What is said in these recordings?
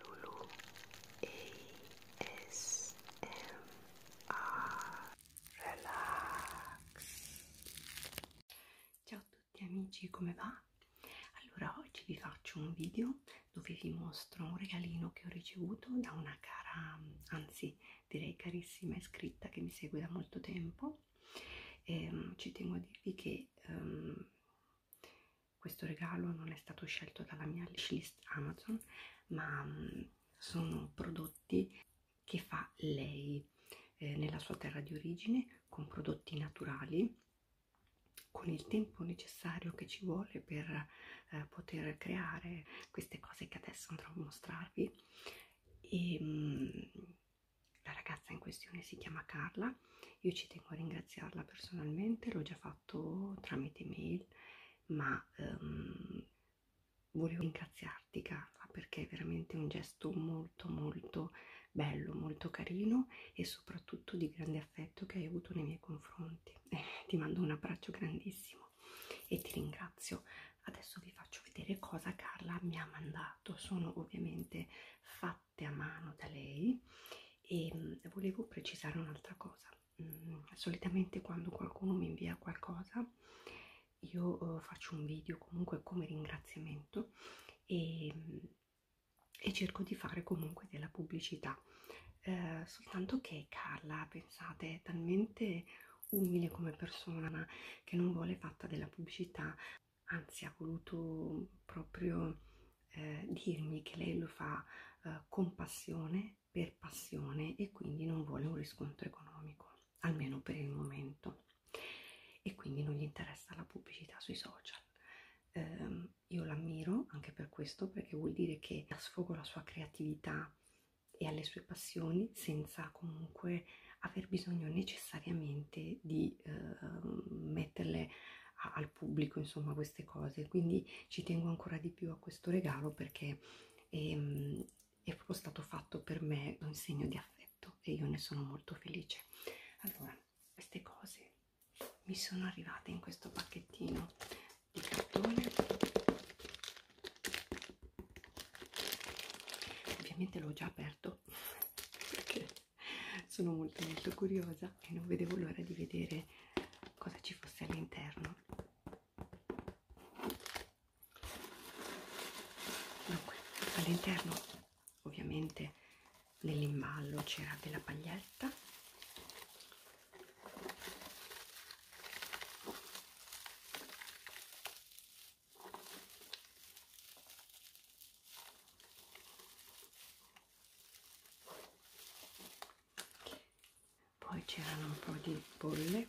Lulu ASMR Relax Ciao a tutti amici, come va? Allora oggi vi faccio un video dove vi mostro un regalino che ho ricevuto da una cara, anzi direi carissima iscritta che mi segue da molto tempo e, um, ci tengo a dirvi che um, questo regalo non è stato scelto dalla mia wishlist Amazon, ma um, sono prodotti che fa lei eh, nella sua terra di origine con prodotti naturali con il tempo necessario che ci vuole per eh, poter creare queste cose che adesso andrò a mostrarvi e mh, mm, la ragazza in questione si chiama Carla io ci tengo a ringraziarla personalmente l'ho già fatto fatto tramite mail, ma um, volevo ringraziarti Carla perché è veramente un gesto molto molto bello, molto carino e soprattutto di grande affetto che hai avuto nei miei confronti. Eh, ti mando un abbraccio grandissimo e ti ringrazio. Adesso vi faccio vedere cosa Carla mi ha mandato. Sono ovviamente fatte fatte a mano da lei e ehm, volevo precisare un'altra cosa mm, solitamente quando qualcuno mi invia qualcosa io eh, faccio un video comunque come ringraziamento e, ehm, e cerco di fare comunque della pubblicità eh, soltanto che Carla pensate è talmente umile come persona che non vuole fatta della pubblicità anzi ha voluto proprio eh, dirmi che lei lo fa eh, con passione, per passione e quindi non vuole un riscontro economico, almeno per il momento. E quindi non gli interessa la pubblicità sui social. Eh, io l'ammiro anche per questo, perché vuol dire che dà sfogo alla sua creatività e alle sue passioni senza comunque aver bisogno necessariamente di eh, metterle a, al al pubblico insomma queste cose quindi ci tengo ancora di più a questo regalo perché è, ehm, è proprio stato fatto per me un segno di affetto e io ne sono molto felice allora queste cose mi sono arrivate in questo pacchettino di cartone ovviamente l'ho già aperto perché sono molto molto curiosa e non vedevo l'ora di vedere cosa ci fosse all'interno dunque all'interno ovviamente nell'imballo c'era della paglietta poi c'erano un po' di bolle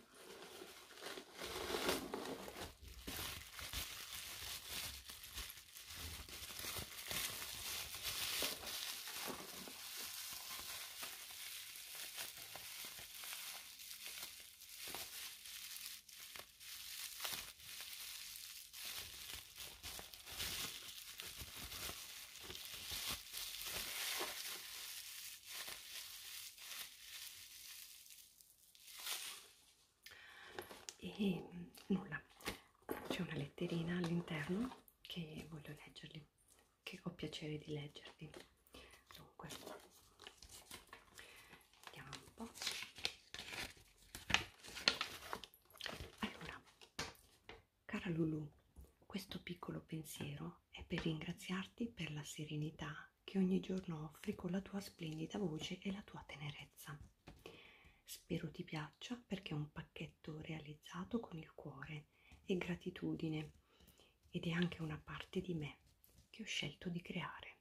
e mm, nulla c'è una letterina all'interno che voglio leggerli che ho piacere di leggervi dunque vediamo un po' allora Cara Lulu, questo piccolo pensiero è per ringraziarti per la serenità che ogni giorno offri con la tua splendida voce e la tua tenerezza. Spero ti piaccia perché è un pacchetto realizzato con il cuore e gratitudine ed è anche una parte di me che ho scelto di creare,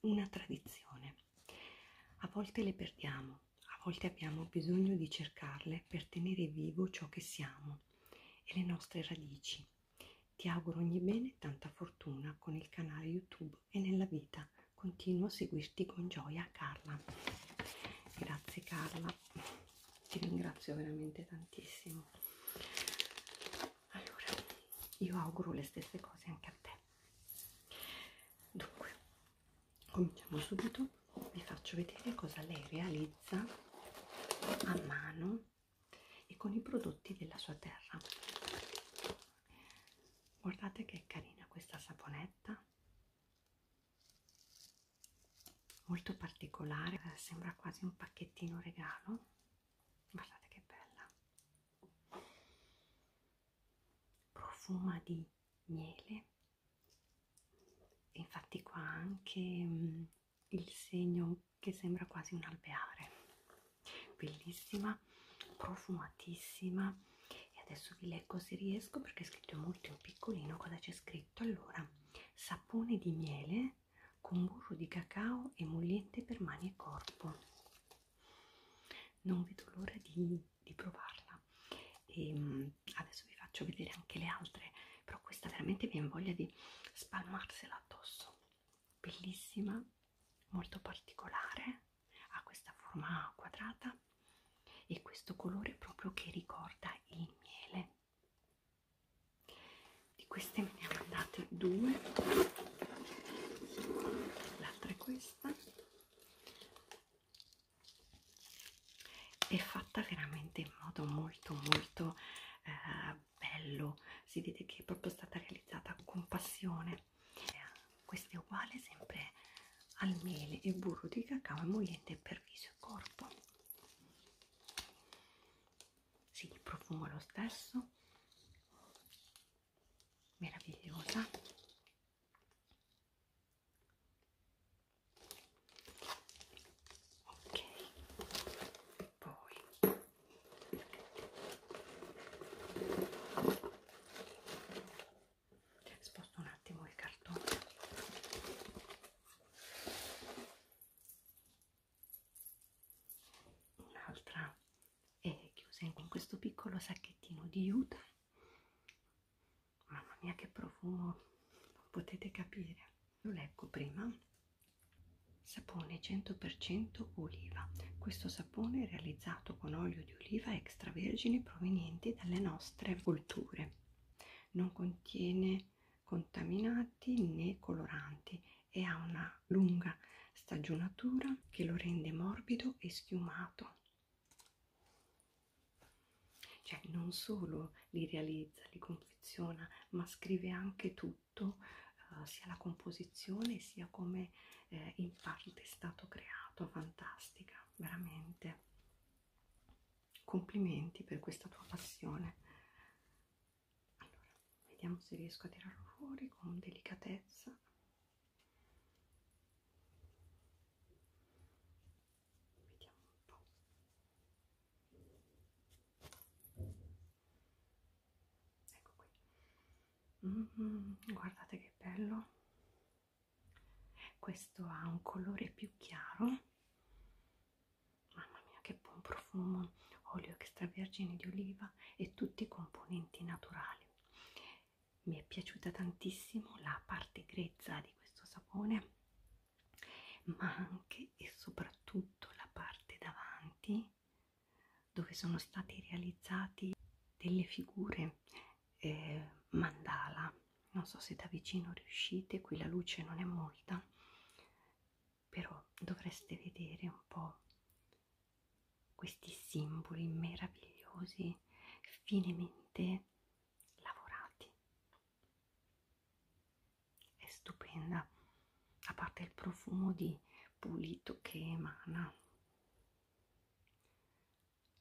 una tradizione. A volte le perdiamo, a volte abbiamo bisogno di cercarle per tenere vivo ciò che siamo e le nostre radici. Ti auguro ogni bene e tanta fortuna con il canale YouTube e nella vita. Continuo a seguirti con gioia, Carla. Grazie Carla, ti ringrazio veramente tantissimo. Allora, io auguro le stesse cose anche a te. Dunque, cominciamo subito vi faccio vedere cosa lei realizza a mano e con i prodotti della sua terra guardate che carina questa saponetta molto particolare eh, sembra quasi un pacchettino regalo guardate che bella profuma di miele infatti qua anche mh, mm, il segno che sembra quasi un alveare bellissima profumatissima e adesso vi leggo se riesco perché è scritto molto in piccolino cosa c'è scritto allora sapone di miele con burro di cacao emolliente per mani e corpo non vedo l'ora di, di provarla e ehm, adesso vi faccio vedere anche le altre però questa veramente viene voglia di spalmarsela addosso bellissima molto particolare ha questa forma quadrata e questo colore proprio che ricorda il miele di queste me ne hanno date due l'altra è questa è fatta veramente in modo molto molto eh, bello si vede che è proprio stata realizzata con passione eh, questo è uguale sempre al mele e burro di cacao emoliente per viso e corpo sì, il profumo è lo stesso meravigliosa ok poi sposto un attimo il cartone un'altra è chiusa con questo piccolo sacchettino di juta Mamma mia che profumo, non potete capire. Lo leggo prima. Sapone 100% oliva. Questo sapone è realizzato con olio di oliva extravergine provenienti dalle nostre colture. Non contiene contaminanti né coloranti e ha una lunga stagionatura che lo rende morbido e schiumato. Cioè non solo li realizza, li confeziona, ma scrive anche tutto, eh, sia la composizione sia come eh, in parte è stato creato, fantastica, veramente. Complimenti per questa tua passione. Allora, vediamo se riesco a tirarlo fuori con delicatezza vediamo un po' ecco qui mm -hmm, guardate che bello questo ha un colore più chiaro mamma mia che buon profumo olio extravergine di oliva e tutti i componenti naturali mi è piaciuta tantissimo la parte grezza di questo sapone ma anche e soprattutto la parte davanti dove sono stati realizzati delle figure eh, mandala non so se da vicino riuscite qui la luce non è molta però dovreste vedere un po questi simboli meravigliosi finemente lavorati è stupenda a parte il profumo di pulito che emana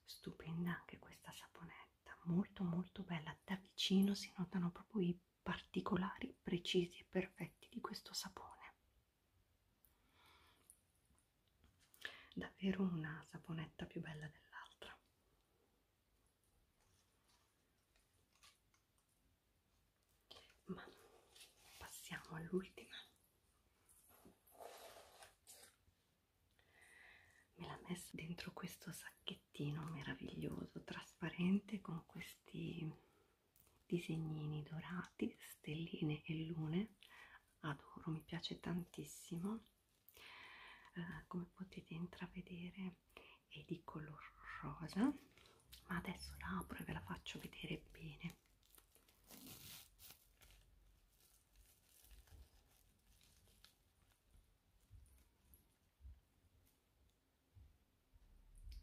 stupenda anche questa saponetta molto molto bella da vicino si notano proprio i particolari precisi e perfetti di questo sapone davvero una saponetta più bella dell'altra ma passiamo all'ultima me l'ha messa dentro questo sacchettino meraviglioso trasparente con questi disegnini dorati stelline e lune adoro mi piace tantissimo eh, come potete intravedere è di color rosa ma adesso la apro e ve la faccio vedere bene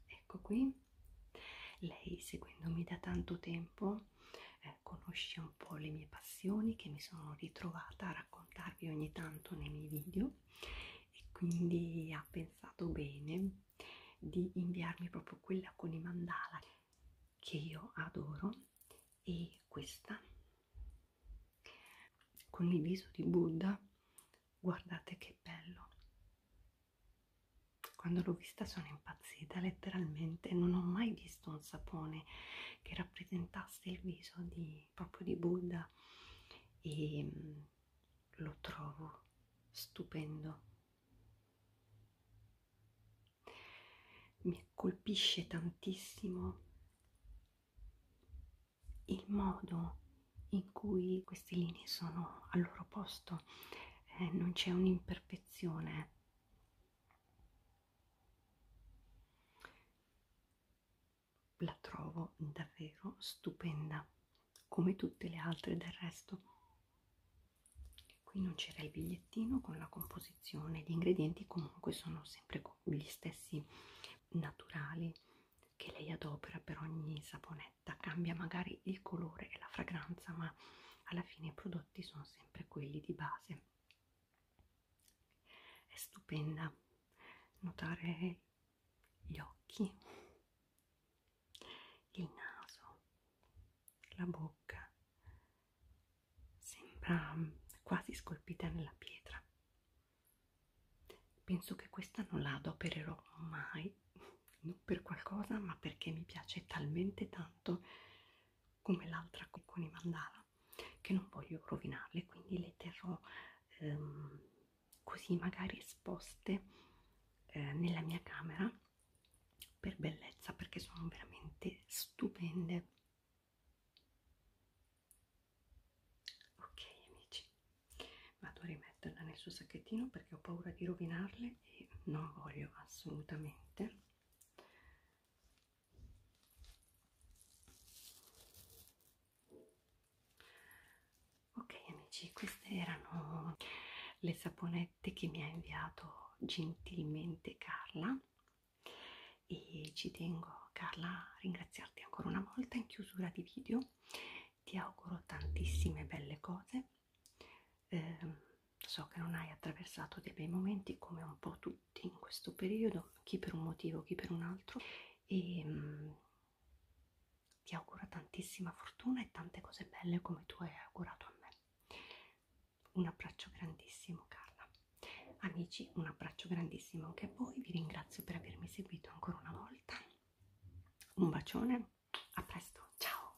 ecco qui lei seguendomi da tanto tempo eh, conosce un po' le mie passioni che mi sono ritrovata a raccontarvi ogni tanto nei miei video e quindi ha pensato bene di inviarmi proprio quella con i mandala che io adoro e questa con il viso di Buddha guardate che bello quando l'ho vista sono impazzita letteralmente non ho mai visto un sapone che rappresentasse il viso di di, proprio di Buddha e mm, lo trovo stupendo. Mi colpisce tantissimo il modo in cui queste linee sono al loro posto, eh, non c'è un'imperfezione la trovo davvero stupenda come tutte le altre del resto qui non c'era il bigliettino con la composizione gli ingredienti comunque sono sempre gli stessi naturali che lei adopera per ogni saponetta cambia magari il colore e la fragranza ma alla fine i prodotti sono sempre quelli di base è stupenda notare gli occhi il naso la bocca sembra quasi scolpita nella pietra penso che questa non la adopererò mai non per qualcosa ma perché mi piace talmente tanto come l'altra con i mandala che non voglio rovinarle quindi le terrò ehm, così magari esposte eh, nella mia camera per bellezza perché sono veramente stupende ok amici vado a rimetterla nel suo sacchettino perché ho paura di rovinarle e non voglio assolutamente ok amici queste erano le saponette che mi ha inviato gentilmente Carla e ci tengo Carla a ringraziarti ancora una volta in chiusura di video ti auguro tantissime belle cose eh, so che non hai attraversato dei bei momenti come un po' tutti in questo periodo chi per un motivo chi per un altro e ehm, ti auguro tantissima fortuna e tante cose belle come tu hai augurato a me. Un abbraccio grandissimo Carla. Amici, un abbraccio grandissimo anche a voi. Vi ringrazio per avermi seguito ancora una volta. Un bacione, a presto, ciao!